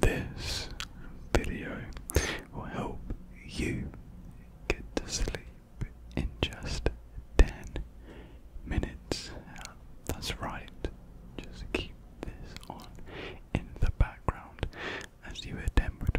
This video will help you get to sleep in just 10 minutes. That's right, just keep this on in the background as you attempt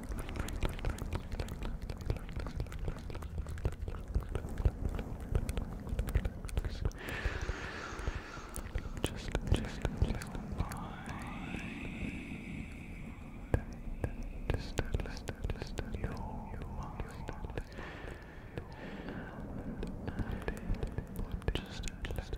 Just, just, just just, just, just your mind. And, and, just, just,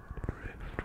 drift drift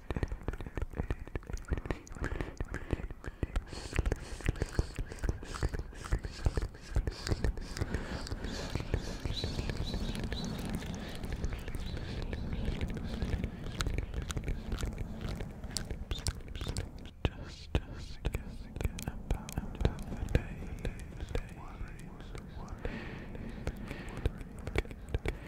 Just, just guessing about the day, day, worries, worries, worries, worries, worries,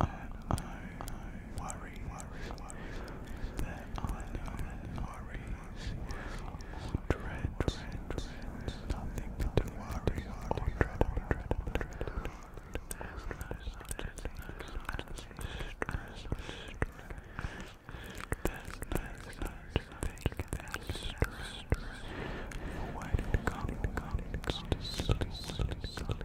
I, I, I worry, worry, worry, that I know that worries or dread, dread, dread, nothing to worry or dread, or dread, or dread, or dread. When it comes to sleep, sleep, sleep,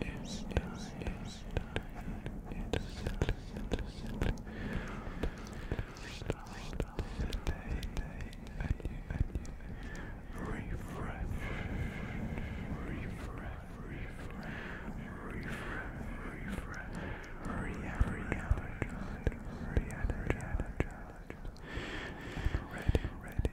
It's time, it's time, it's settle, settle, settle. Start, start the day, day, and you, and you. Refresh, refresh, refresh, refresh, refresh, Ready, ready, ready,